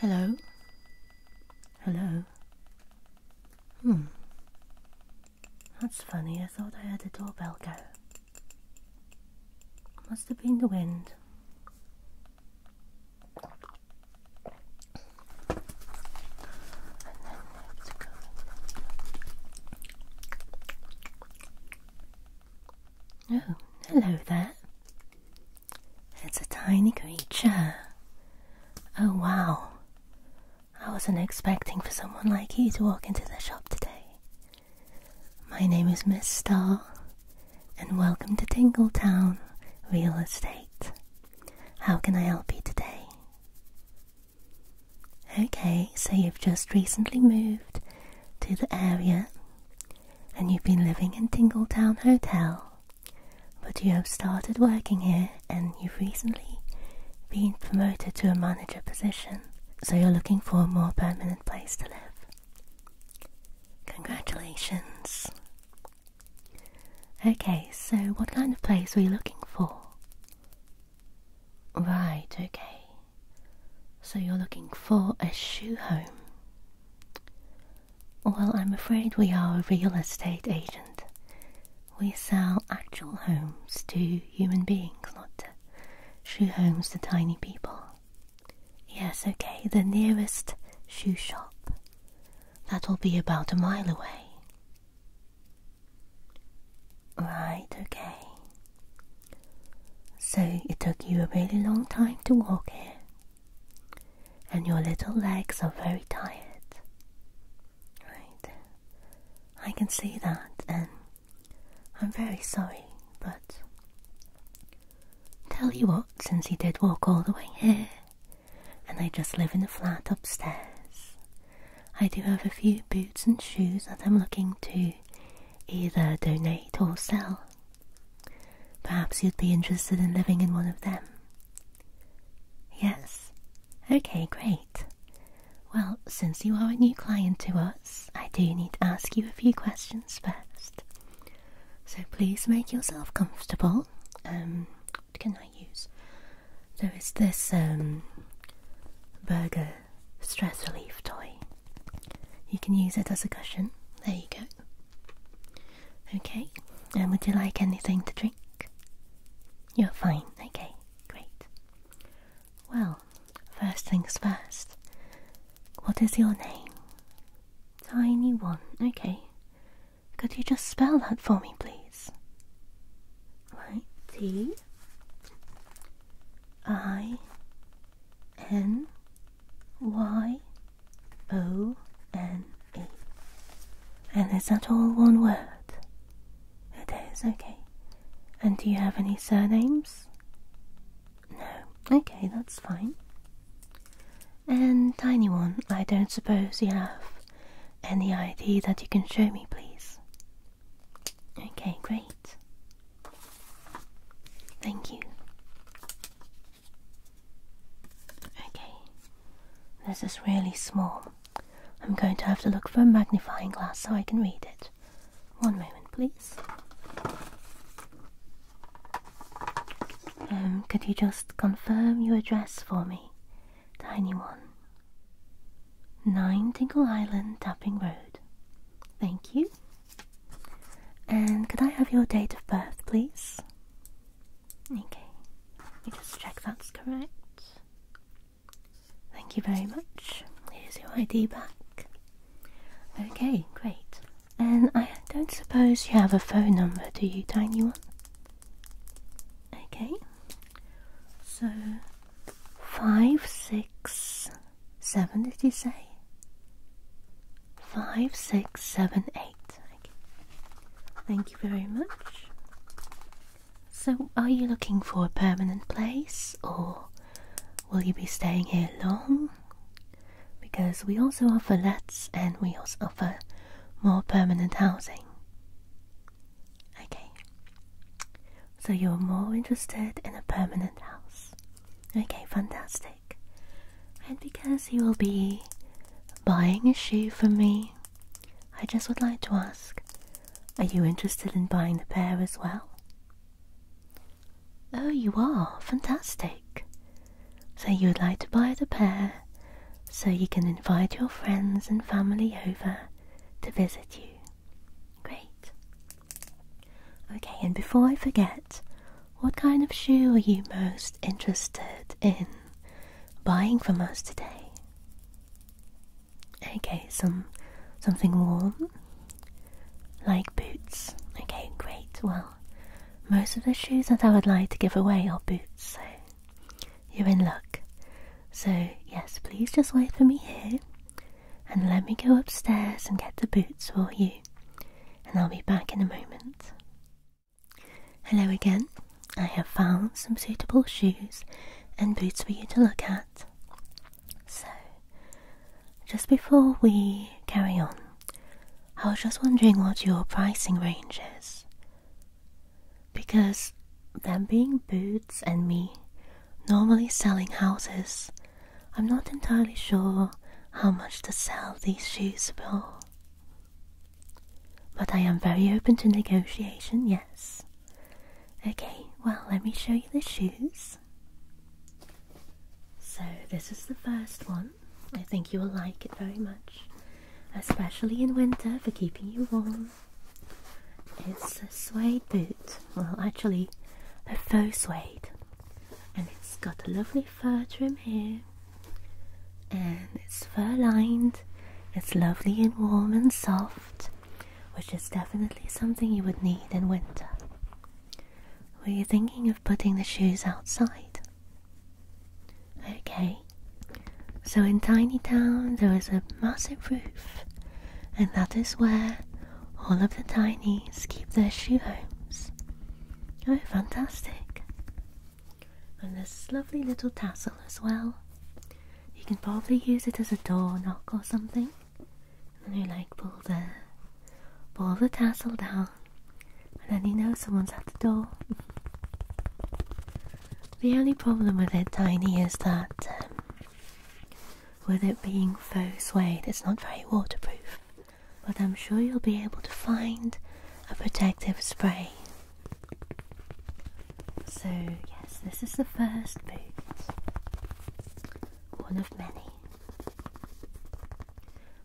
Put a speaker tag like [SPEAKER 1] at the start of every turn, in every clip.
[SPEAKER 1] Hello? Hello? Hmm. That's funny, I thought I heard the doorbell go. Must have been the wind. Oh, hello there. It's a tiny creature. Oh, wow. I wasn't expecting for someone like you to walk into the shop today. My name is Miss Star, and welcome to Tingletown Real Estate. How can I help you today? Okay, so you've just recently moved to the area and you've been living in Tingletown Hotel, but you have started working here and you've recently been promoted to a manager position, so you're looking for a more permanent place to live. Congratulations! Okay, so what kind of place are you looking for? Right, okay. So you're looking for a shoe home? Well, I'm afraid we are a real estate agent. We sell actual homes to human beings, not shoe homes to tiny people. Yes, okay, the nearest shoe shop. That'll be about a mile away. Right, okay. So it took you a really long time to walk here, and your little legs are very tired. Right, I can see that, and I'm very sorry, but tell you what, since you did walk all the way here, and I just live in a flat upstairs. I do have a few boots and shoes that I'm looking to either donate or sell. Perhaps you'd be interested in living in one of them. Yes. Okay, great. Well, since you are a new client to us, I do need to ask you a few questions first. So please make yourself comfortable. Um, can I use? There is this um, burger stress relief toy. You can use it as a cushion. There you go. Okay, and would you like anything to drink? You're fine, okay, great. Well, first things first. What is your name? Tiny One, okay. Could you just spell that for me, please? Right, T I N Y O N E. And is that all one word? It is, okay. And do you have any surnames? No, okay, that's fine. And tiny one, I don't suppose you have any ID that you can show me, please? Okay, great. Thank you. Okay, this is really small. I'm going to have to look for a magnifying glass so I can read it. One moment, please. Um, could you just confirm your address for me? Tiny one. 9 Tinkle Island, Tapping Road. Thank you. And could I have your date of birth, please? Okay, let me just check that's correct. Thank you very much. Here's your ID back. Okay, great. And I don't suppose you have a phone number, do you, Tiny One? Okay, so five, six, seven, did you say? Five, six, seven, eight. Okay. Thank you very much. So, are you looking for a permanent place or will you be staying here long? Because we also offer lets and we also offer more permanent housing. Okay. So you're more interested in a permanent house. Okay, fantastic. And because you will be buying a shoe from me, I just would like to ask are you interested in buying the pair as well? Oh, you are. Fantastic. So you would like to buy the pair so you can invite your friends and family over to visit you. Great. Okay, and before I forget, what kind of shoe are you most interested in buying from us today? Okay, some something warm like boots. Okay, great. Well, most of the shoes that I would like to give away are boots, so you're in luck. So, yes, please just wait for me here and let me go upstairs and get the boots for you, and I'll be back in a moment. Hello again. I have found some suitable shoes and boots for you to look at. So, just before we carry on, I was just wondering what your pricing range is. Because them being boots and me normally selling houses, I'm not entirely sure how much to sell these shoes for. But I am very open to negotiation, yes. Okay, well, let me show you the shoes. So, this is the first one. I think you will like it very much, especially in winter for keeping you warm. It's a suede boot, well, actually, a faux suede, and it's got a lovely fur trim here, and it's fur lined, it's lovely and warm and soft, which is definitely something you would need in winter. Were you thinking of putting the shoes outside? Okay, so in Tiny Town there is a massive roof, and that is where all of the tinies keep their shoe homes. Oh, fantastic! And this lovely little tassel as well. You can probably use it as a door knock or something. And you like pull the pull the tassel down and then he knows someone's at the door. the only problem with it, Tiny, is that um, with it being faux suede, it's not very waterproof. But I'm sure you'll be able to find a protective spray. So, yes, this is the first boot. One of many.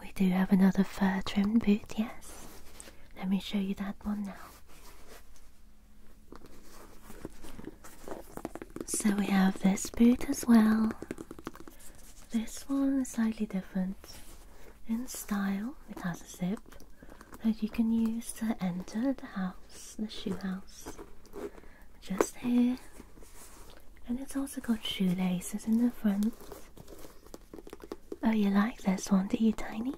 [SPEAKER 1] We do have another fur trimmed boot, yes. Let me show you that one now. So we have this boot as well. This one is slightly different in style. It has a zip that you can use to enter the house, the shoe house. Just here, and it's also got shoelaces in the front. Oh, you like this one, do you, Tiny?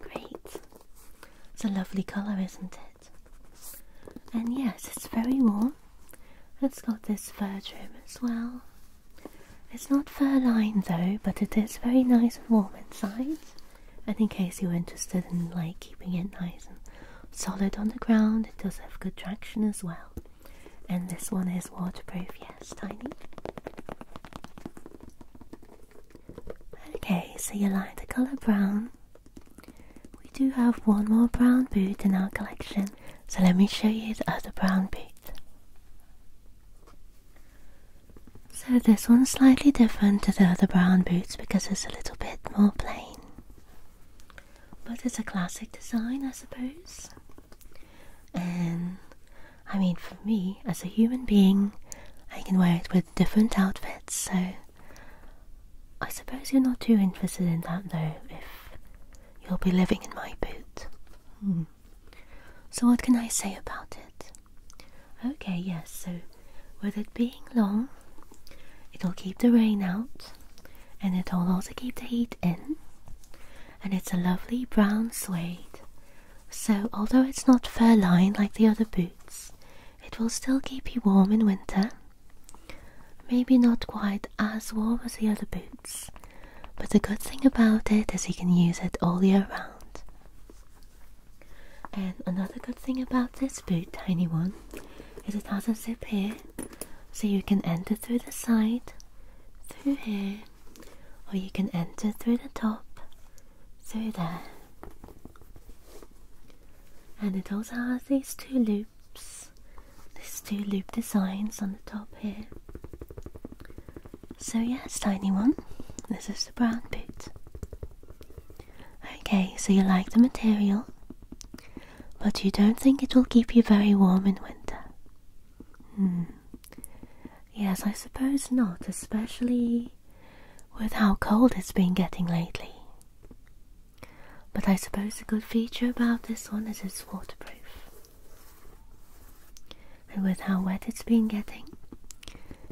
[SPEAKER 1] Great. It's a lovely colour, isn't it? And yes, it's very warm. It's got this fur trim as well. It's not fur lined though, but it is very nice and warm inside. And in case you're interested in like keeping it nice and solid on the ground, it does have good traction as well. And this one is waterproof, yes, tiny. Okay, so you like the colour brown. We do have one more brown boot in our collection, so let me show you the other brown boot. So this one's slightly different to the other brown boots because it's a little bit more plain. But it's a classic design, I suppose. And I mean, for me, as a human being, I can wear it with different outfits, so I suppose you're not too interested in that though, if you'll be living in my boot. Hmm. So, what can I say about it? Okay, yes, so with it being long, it'll keep the rain out, and it will also keep the heat in and it's a lovely brown suede so although it's not fur lined like the other boots it will still keep you warm in winter maybe not quite as warm as the other boots but the good thing about it is you can use it all year round and another good thing about this boot tiny one is it has a zip here so you can enter through the side, through here, or you can enter through the top, through there. And it also has these two loops, these two loop designs on the top here. So yes, tiny one, this is the brown boot. Okay, so you like the material but you don't think it will keep you very warm in winter. Hmm. Yes, I suppose not, especially with how cold it's been getting lately. But I suppose a good feature about this one is it's waterproof. And with how wet it's been getting,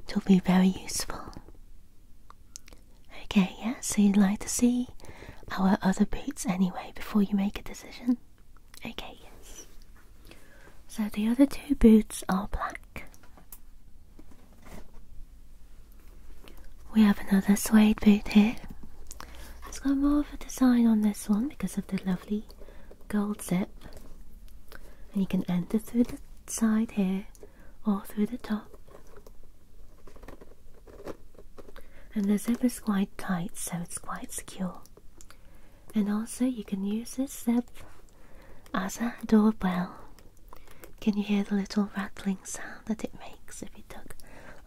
[SPEAKER 1] it'll be very useful. Okay, yeah, so you'd like to see our other boots anyway before you make a decision? Okay, yes. So the other two boots are black. We have another suede boot here. It's got more of a design on this one because of the lovely gold zip. And you can enter through the side here or through the top and the zip is quite tight so it's quite secure and also you can use this zip as a doorbell can you hear the little rattling sound that it makes if you tug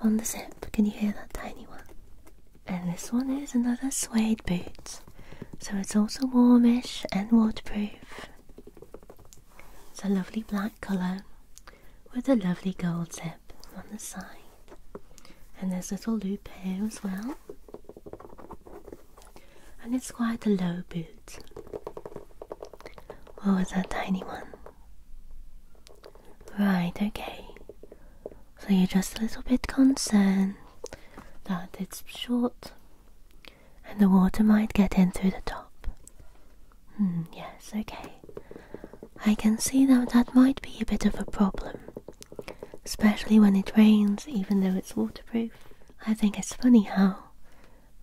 [SPEAKER 1] on the zip can you hear that tiny one and this one is another suede boot so it's also warmish and waterproof it's a lovely black colour with a lovely gold tip on the side. And there's a little loop here as well. And it's quite a low boot. What oh, was that tiny one? Right, okay. So you're just a little bit concerned that it's short and the water might get in through the top. Hmm, yes, okay. I can see now that might be a bit of a problem. Especially when it rains, even though it's waterproof. I think it's funny how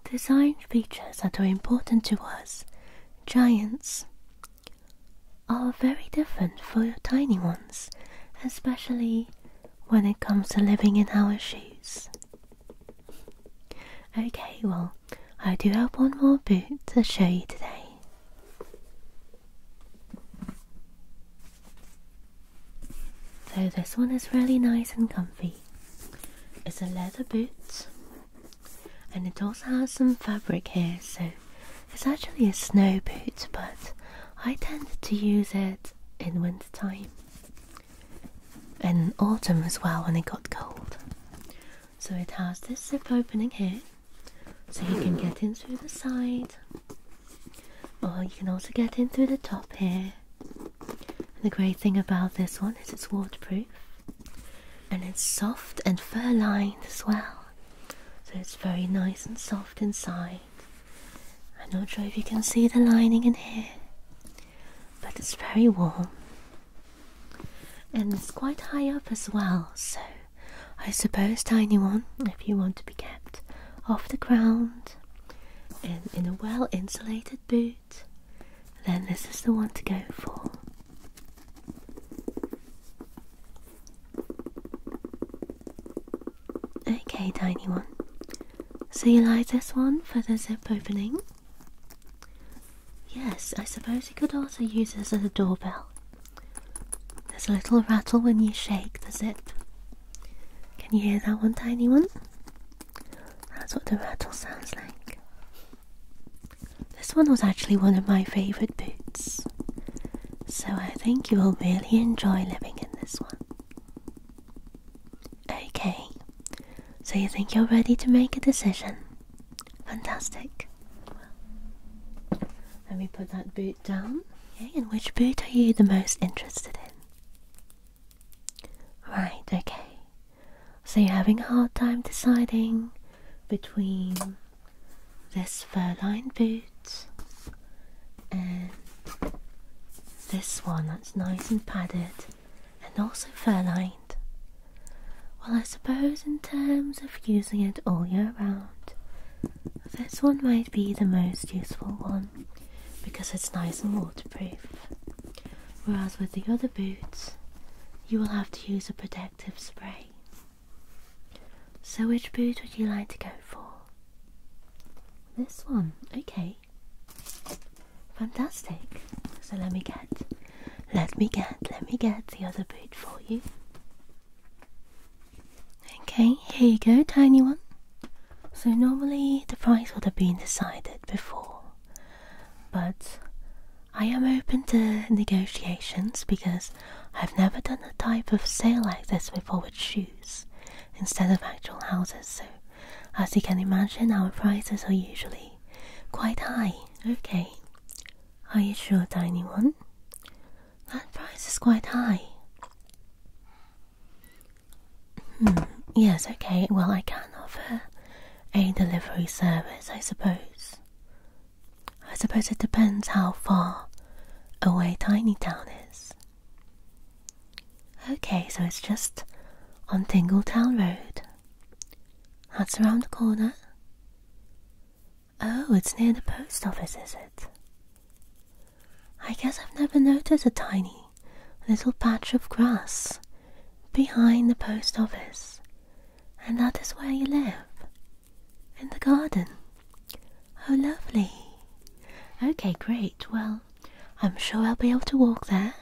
[SPEAKER 1] design features that are important to us, giants, are very different for tiny ones, especially when it comes to living in our shoes. Okay, well, I do have one more boot to show you today. So, this one is really nice and comfy. It's a leather boot, and it also has some fabric here, so it's actually a snow boot, but I tend to use it in winter time and autumn as well when it got cold. So it has this zip opening here, so you can get in through the side, or you can also get in through the top here. the great thing about this one is it's waterproof and it's soft and fur lined as well, so it's very nice and soft inside. I'm not sure if you can see the lining in here, but it's very warm and it's quite high up as well, so I suppose, tiny one, if you want to be kept off the ground and in a well insulated boot, then this is the one to go for. Okay, tiny one. So you like this one for the zip opening? Yes, I suppose you could also use this as a doorbell. There's a little rattle when you shake the zip. Can you hear that one, tiny one? That's what the rattle sounds like. This one was actually one of my favourite boots, so I think you will really enjoy living in this one. Okay, so you think you're ready to make a decision? Fantastic. let me put that boot down. Okay, and which boot are you the most interested in? Right, okay. So you're having a hard time deciding between this fur lined boot and this one that's nice and padded and also fur-lined. Well, I suppose in terms of using it all year round, this one might be the most useful one because it's nice and waterproof. Whereas with the other boots, you will have to use a protective spray. So, which boot would you like to go for? This one, okay. Fantastic. So let me get, let me get, let me get the other boot for you. Okay, here you go, tiny one. So normally the price would have been decided before, but I am open to negotiations because I've never done a type of sale like this before with shoes instead of actual houses, so as you can imagine, our prices are usually quite high. Okay, are you sure, Tiny One? That price is quite high. Hmm, yes, okay, well, I can offer a delivery service, I suppose. I suppose it depends how far away Tiny Town is. Okay, so it's just on Tingletown Road. That's around the corner. Oh, it's near the post office, is it? I guess I've never noticed a tiny little patch of grass behind the post office. And that is where you live. In the garden. Oh, lovely. Okay, great. Well, I'm sure I'll be able to walk there.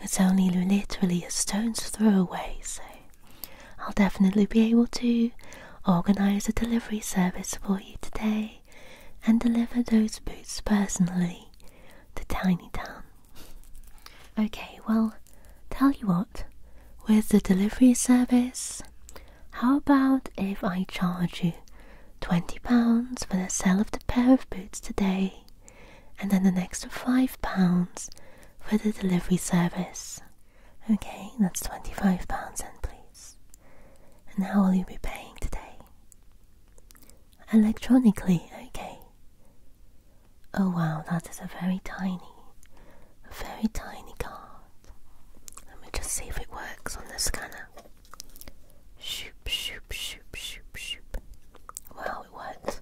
[SPEAKER 1] It's only literally a stone's throw away, so I'll definitely be able to organize a delivery service for you today and deliver those boots personally to Tiny Town. Okay, well, tell you what, with the delivery service, how about if I charge you £20 for the sale of the pair of boots today and then the next £5 for the delivery service. Okay, that's £25 and please. And how will you be paying today? Electronically, okay. Oh wow, that is a very tiny, very tiny card. Let me just see if it works on the scanner. Shoop, shoop, shoop, shoop, shoop. Wow, it worked.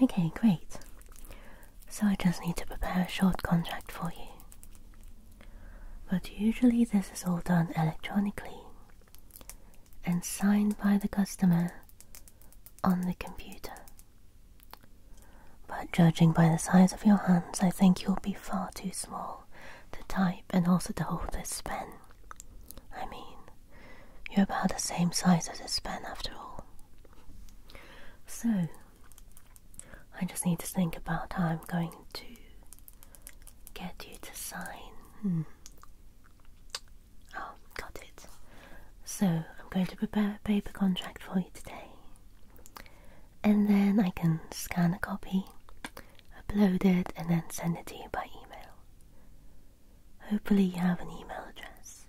[SPEAKER 1] Okay, great. So I just need to prepare a short contract for you. But usually this is all done electronically and signed by the customer on the computer. But judging by the size of your hands, I think you'll be far too small the type and also to hold this pen. I mean, you're about the same size as this pen after all. So, I just need to think about how I'm going to get you to sign. Hmm. Oh, got it. So, I'm going to prepare a paper contract for you today. And then I can scan a copy upload it, and then send it to you by email. Hopefully, you have an email address.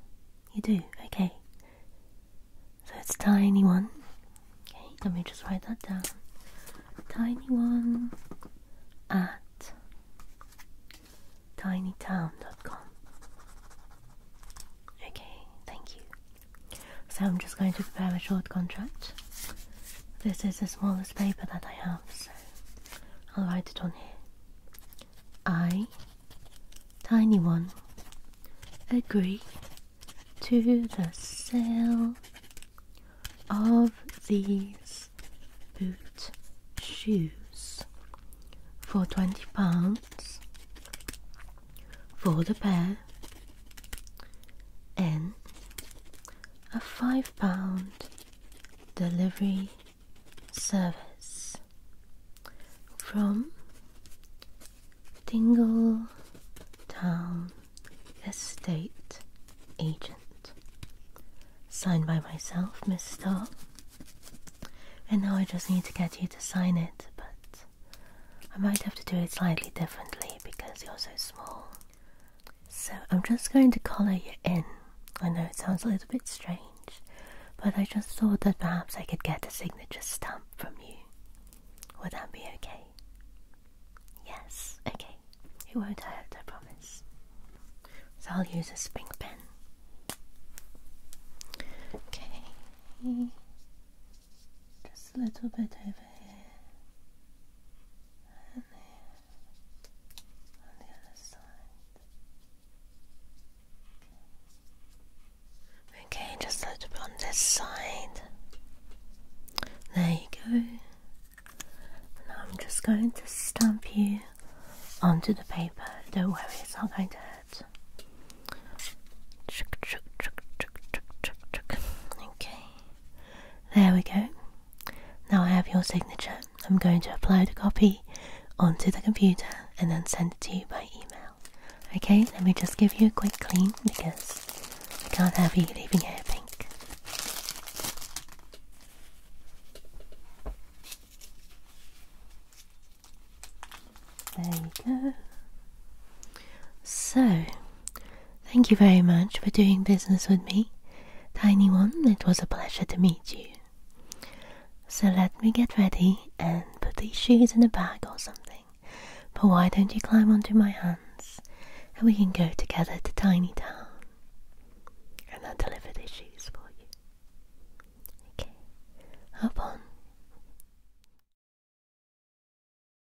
[SPEAKER 1] You do, okay. So it's tiny one. Okay, let me just write that down. Tiny one at tinytown.com. Okay, thank you. So I'm just going to prepare a short contract this is the smallest paper that I have, so I'll write it on here. I, tiny one, agree to the sale of these boots, shoes for twenty pounds for the pair. N a five pound delivery service from Dingle Town Estate Agent. Signed by myself, Miss Starr. And now I just need to get you to sign it, but I might have to do it slightly differently because you're so small. So I'm just going to colour you in. I know it sounds a little bit strange, but I just thought that perhaps I could get a signature stamp from you. Would that be okay? Yes, okay. It won't hurt, I promise. So I'll use a spring pen. Okay. Just a little bit over here. Okay, just a little bit on this side. There you go. Now I'm just going to stamp you onto the paper. Don't worry, it's not going to hurt. Okay. There we go. Now I have your signature. I'm going to upload a copy onto the computer and then send it to you by email. Okay, let me just give you a quick clean because I can't have you leaving here pink. There you go. So, thank you very much for doing business with me. Tiny One, it was a pleasure to meet you. So let me get ready and put these shoes in a bag or something. But why don't you climb onto my hands and we can go together to Tiny Town and I'll deliver these shoes for you. Okay, hop on.